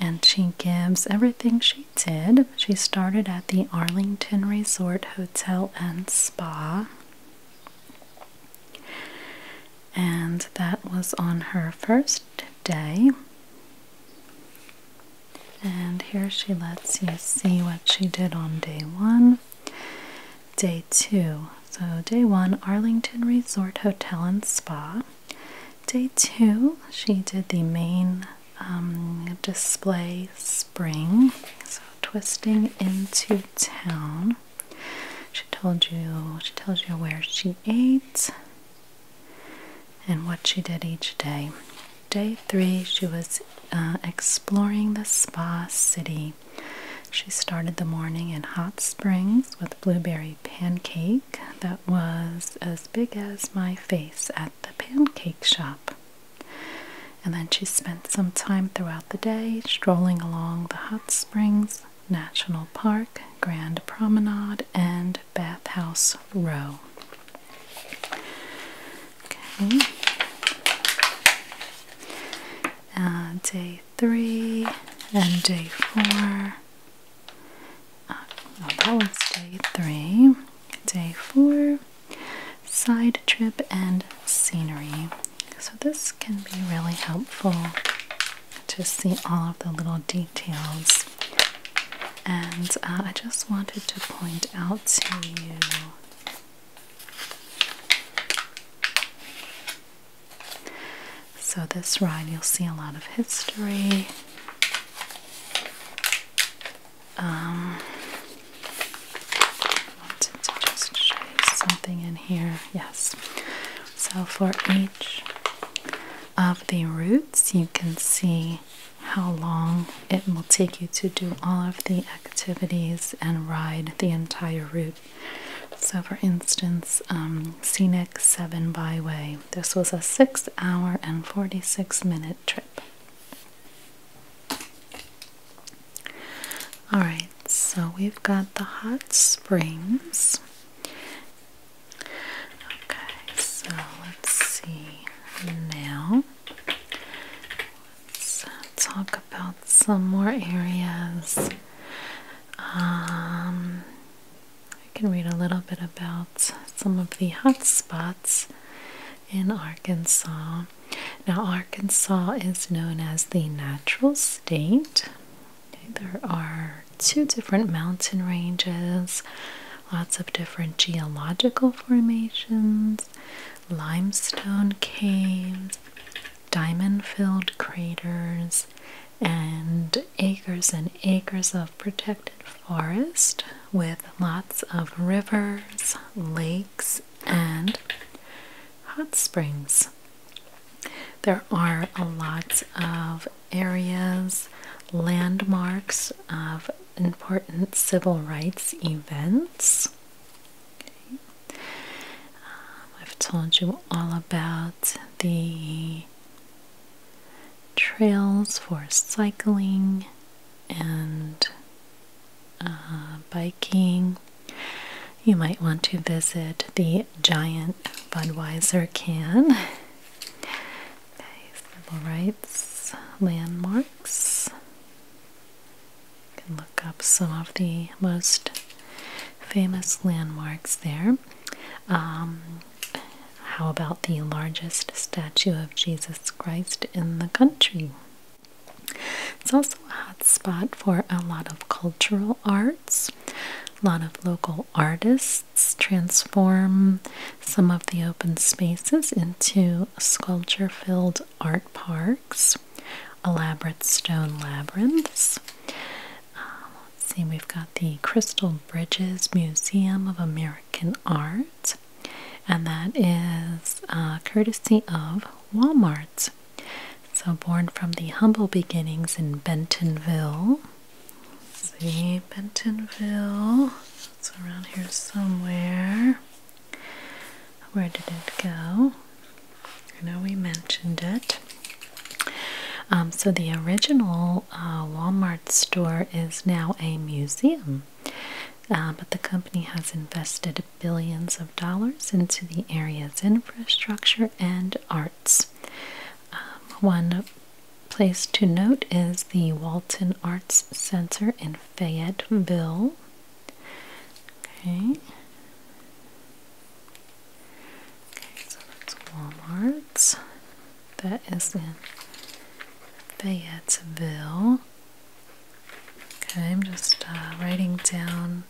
[SPEAKER 1] And she gives everything she did. She started at the Arlington Resort Hotel and Spa. And that was on her first day. And here she lets you see what she did on day one day two. So, day one, Arlington Resort Hotel and Spa. Day two, she did the main um, display spring. So, twisting into town. She told you, she tells you where she ate and what she did each day. Day three, she was uh, exploring the spa city. She started the morning in hot springs with blueberry pancake that was as big as my face at the pancake shop. And then she spent some time throughout the day strolling along the hot springs, National Park, Grand Promenade, and Bathhouse Row. Okay. Uh, day three and day four. Uh, that was day three. Day four. Side trip and scenery. So this can be really helpful to see all of the little details. And uh, I just wanted to point out to you so, this ride you'll see a lot of history. Um, wanted to just show you something in here. Yes. So, for each of the routes, you can see how long it will take you to do all of the activities and ride the entire route. So, for instance, um, Scenic 7 Byway. This was a 6 hour and 46 minute trip. Alright, so we've got the hot springs. Okay, so let's see now. Let's talk about some more areas. Um, I can read a little bit about some of the hot spots in Arkansas. Now, Arkansas is known as the natural state. There are two different mountain ranges, lots of different geological formations, limestone caves, diamond filled craters, and acres and acres of protected forest with lots of rivers, lakes, and hot springs. There are a lot of areas, landmarks of important civil rights events. Um, I've told you all about the trails for cycling and uh, biking. You might want to visit the giant Budweiser can. civil rights landmarks can look up some of the most famous landmarks there. Um, how about the largest statue of Jesus Christ in the country? It's also a hot spot for a lot of cultural arts. A lot of local artists transform some of the open spaces into sculpture filled art parks elaborate stone labyrinths. Um, let's see, we've got the Crystal Bridges Museum of American Art, and that is uh, courtesy of Walmart. So, born from the humble beginnings in Bentonville. see, Bentonville, it's around here somewhere. Where did it go? I know we mentioned it. Um, so the original uh, Walmart store is now a museum, uh, but the company has invested billions of dollars into the area's infrastructure and arts. Um, one place to note is the Walton Arts Center in Fayetteville. Okay. Okay, so that's Walmart's. That is in Fayetteville. Okay, I'm just uh, writing down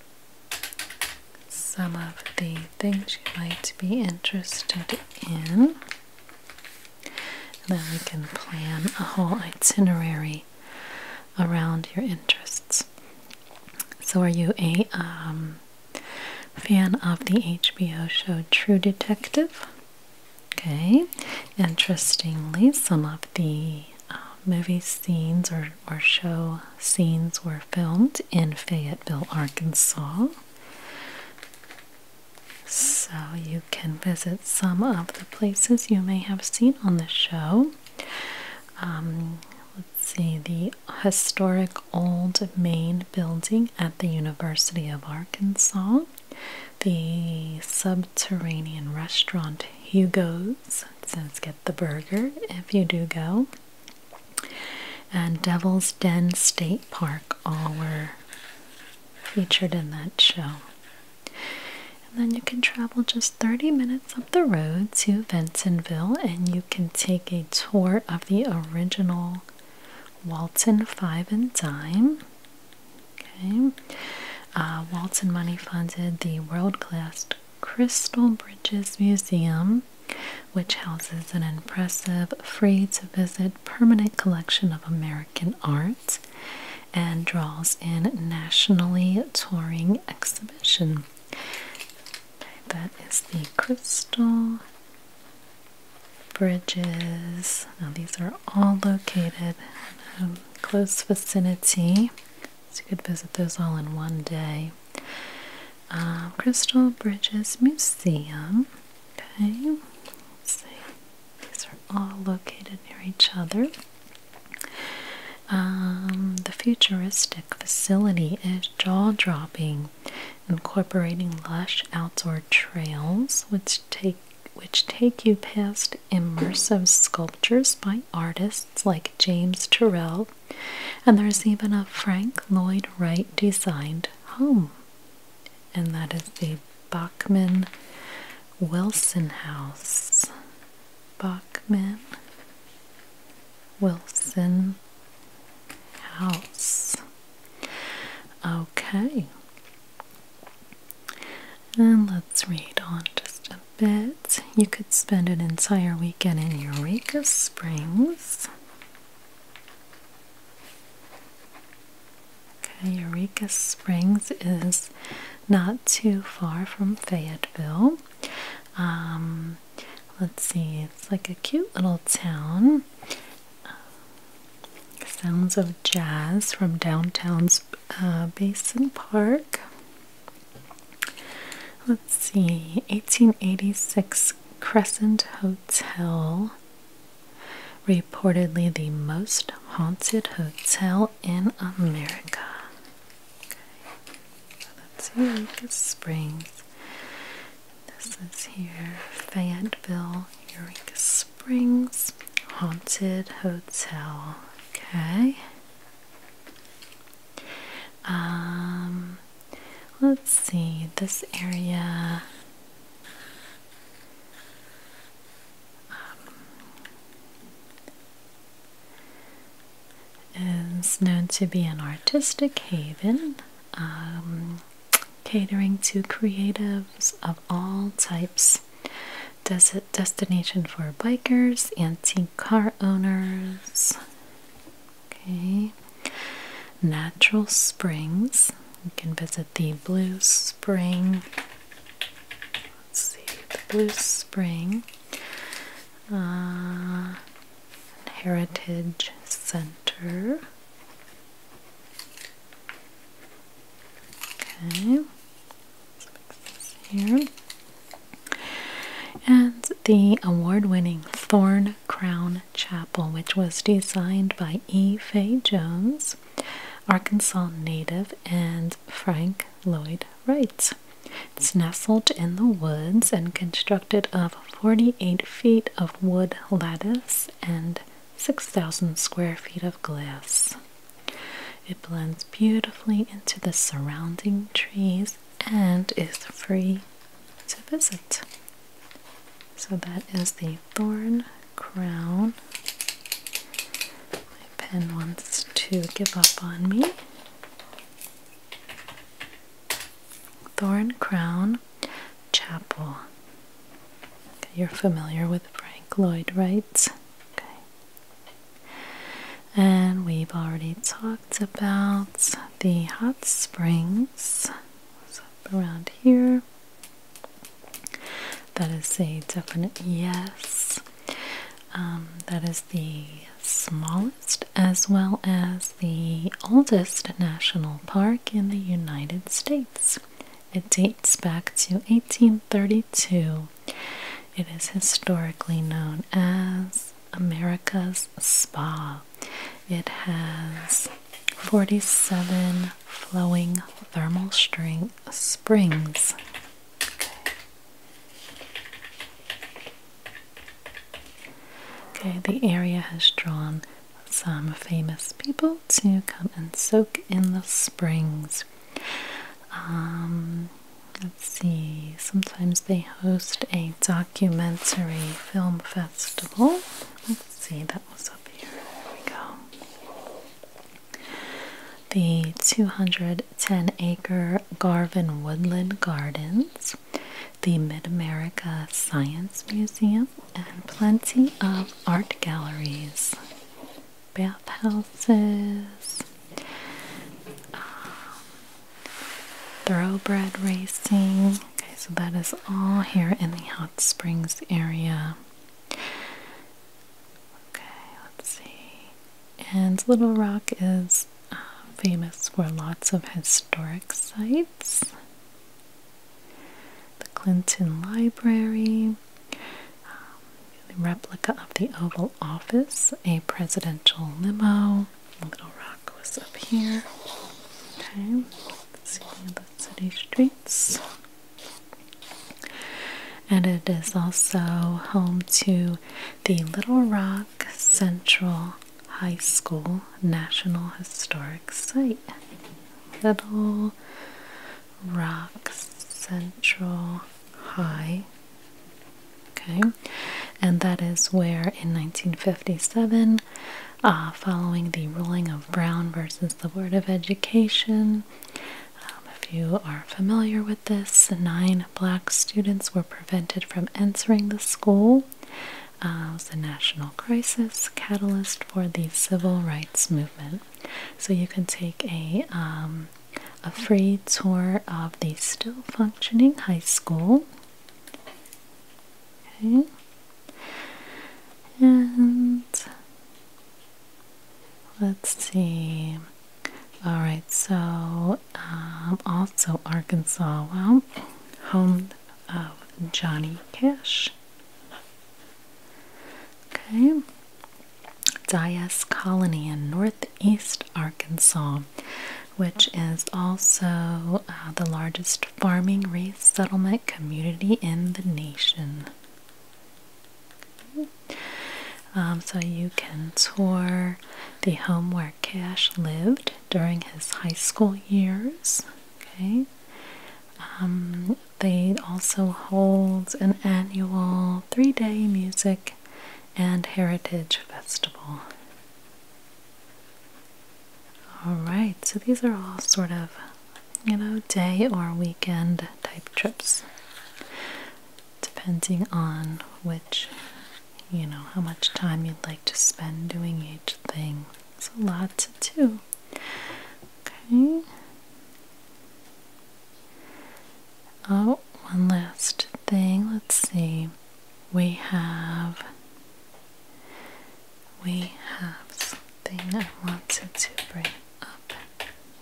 [SPEAKER 1] some of the things you might be interested in. And then we can plan a whole itinerary around your interests. So, are you a um, fan of the HBO show True Detective? Okay, interestingly, some of the uh, movie scenes or, or show scenes were filmed in Fayetteville, Arkansas. So, you can visit some of the places you may have seen on the show. Um, let's see, the historic old main building at the University of Arkansas, the subterranean restaurant Hugo's. Says get the burger if you do go. And Devil's Den State Park all were featured in that show. And then you can travel just 30 minutes up the road to Bentonville and you can take a tour of the original Walton Five and Dime. Okay. Uh, Walton Money funded the world class Crystal Bridges Museum, which houses an impressive free to visit permanent collection of American art and draws in nationally touring exhibitors. That is the Crystal Bridges. Now, these are all located in close vicinity, so you could visit those all in one day. Uh, crystal Bridges Museum. Okay, see. These are all located near each other. Um, the futuristic facility is jaw dropping, incorporating lush outdoor trails which take which take you past immersive sculptures by artists like James Turrell, and there's even a Frank Lloyd Wright designed home, and that is the Bachman Wilson House. Bachman Wilson House. Okay. And let's read on just a bit. You could spend an entire weekend in Eureka Springs. Okay, Eureka Springs is not too far from Fayetteville. Um, let's see, it's like a cute little town. Uh, sounds of jazz from downtown's uh, Basin Park. Let's see, 1886 Crescent Hotel, reportedly the most haunted hotel in America. Okay. So that's here, Lucas Springs. This is here, Fayetteville, Eureka Springs, Haunted Hotel. Okay. Um, let's see, this area. Um, is known to be an artistic haven, um, catering to creatives of all types. destination for bikers, antique car owners. Okay, natural springs. You can visit the Blue Spring Let's see, the Blue Spring uh, Heritage Center. Okay, here. And the award winning Thorn Crown Chapel, which was designed by E. Fay Jones, Arkansas native, and Frank Lloyd Wright. It's nestled in the woods and constructed of 48 feet of wood lattice and 6,000 square feet of glass. It blends beautifully into the surrounding trees and is free to visit. So that is the thorn crown. My pen wants to give up on me. Thorn Crown Chapel. you're familiar with Frank Lloyd Wright's. Okay. And we've already talked about the hot springs. around here. That is a definite yes. Um, that is the smallest as well as the oldest national park in the United States. It dates back to 1832. It is historically known as America's Spa. It has 47 flowing thermal spring springs Okay, the area has drawn some famous people to come and soak in the springs. Um, let's see, sometimes they host a documentary film festival. Let's see, that was up here. There we go. The 200 10 acre Garvin Woodland Gardens, the Mid America Science Museum, and plenty of art galleries, bathhouses, um, thoroughbred racing. Okay, so that is all here in the Hot Springs area. Okay, let's see. And Little Rock is uh, famous for lots of historic sites. The Clinton Library, the um, replica of the Oval Office, a presidential limo. Little Rock was up here. Okay, seeing the city streets. And it is also home to the Little Rock Central High School National Historic Site. Little Rock Central High. Okay, and that is where in 1957, uh, following the ruling of Brown versus the Board of Education, um, if you are familiar with this, nine black students were prevented from entering the school. Uh, it was a national crisis catalyst for the civil rights movement. So you can take a um, a free tour of the still functioning high school. Okay. And let's see. All right, so um, also Arkansas, home of Johnny Cash. Okay, Dias Colony in northeast Arkansas, which is also uh, the largest farming resettlement community in the nation. Um, so you can tour the home Cash lived during his high school years. Okay. Um, they also hold an annual three day music and heritage festival. Alright, so these are all sort of, you know, day or weekend type trips depending on which, you know, how much time you'd like to spend doing each thing. It's a lot to do. Okay. Oh, one last thing. Let's see. We have. We have something I wanted to bring up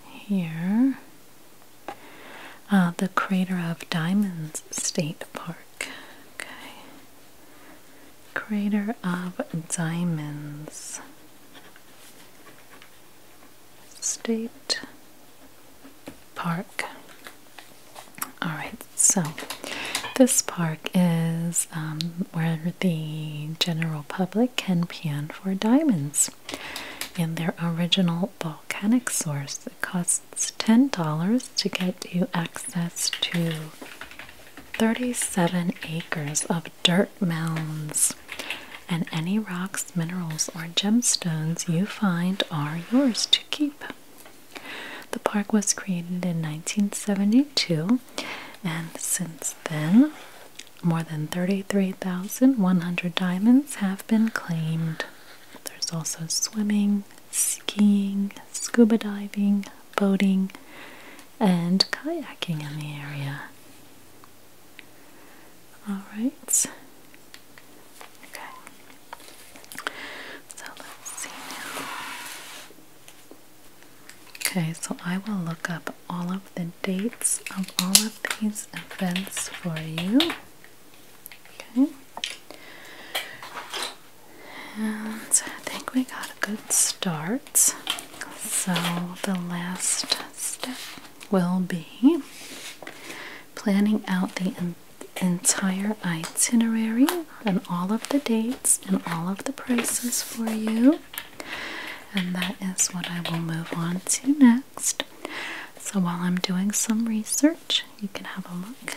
[SPEAKER 1] here. Uh, the crater of Diamonds State Park. Okay. Crater of Diamonds State Park. Alright, so this park is um, where the general public can pan for diamonds in their original volcanic source. It costs costs $10 to get you access to 37 acres of dirt mounds. And any rocks, minerals, or gemstones you find are yours to keep. The park was created in 1972, and since then, more than 33,100 diamonds have been claimed. There's also swimming, skiing, scuba diving, boating, and kayaking in the area. Alright. Okay. So let's see Okay, so I will look up all of the dates of all of these events for you. Okay. And I think we got a good start. So the last step will be planning out the entire itinerary and all of the dates and all of the prices for you. And that is what I will move on to next. So while I'm doing some research, you can have a look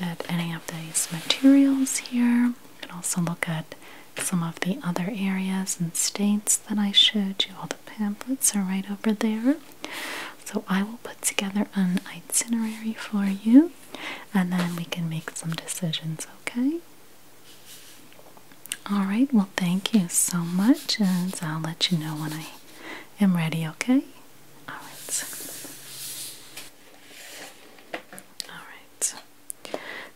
[SPEAKER 1] at any of these materials here. You can also look at some of the other areas and states that I showed you. All the pamphlets are right over there. So I will put together an itinerary for you and then we can make some decisions, okay? Alright, well, thank you so much, and I'll let you know when I am ready, okay? Alright. Alright.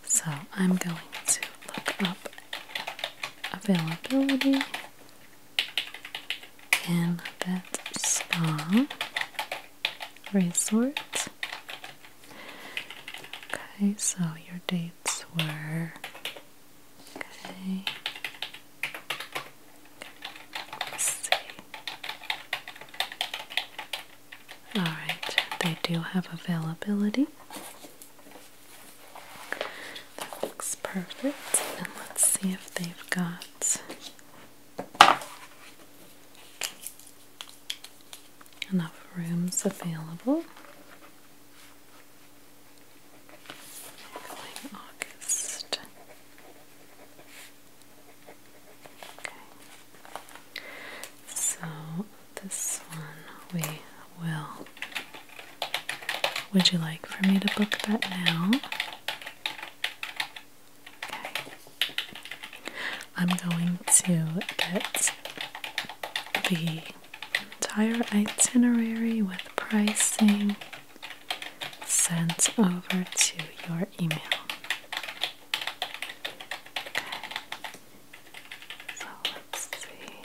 [SPEAKER 1] So I'm going to look up availability in that spa resort. Okay, so your dates were Okay. let Alright, they do have availability. That looks perfect. And let's see if they've got enough rooms available going August. Okay. So this one we will. Would you like for me to book that now? Okay. I'm going to get the entire itinerary with pricing sent over to your email. Okay. So let's see.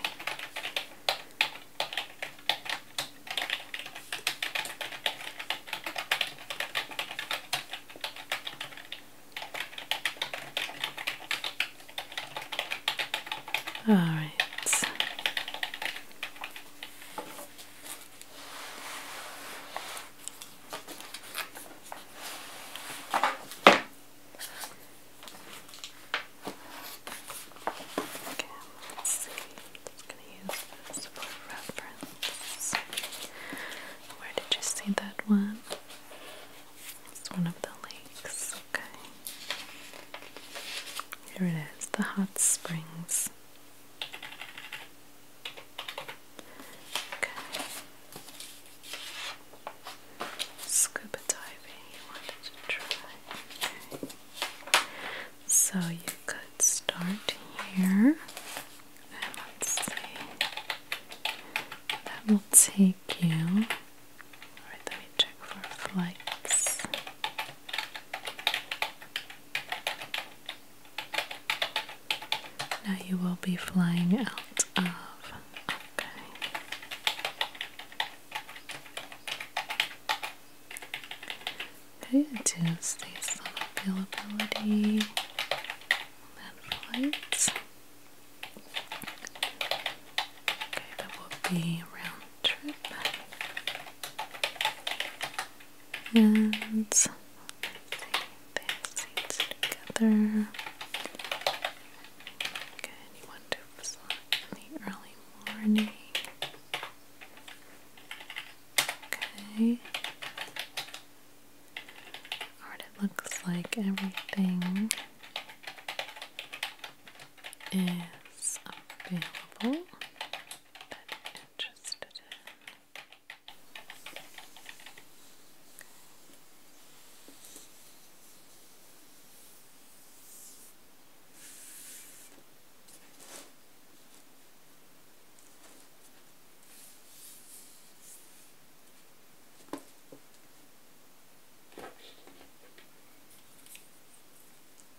[SPEAKER 1] All right. Okay, let's see. i gonna use this for reference. Where did you see that one? It's one of the lakes, okay. Here it is, the hot springs. Okay. Scuba you wanted to try. So you could start here. let's see. That will take you. let me check for flights. Now you will be flying out of. Okay. Good. Is this on availability? That flight. Okay, that will be round trip and let together. Okay, you want to select in the early morning. Okay. it looks like everything is available. That interested in. Okay.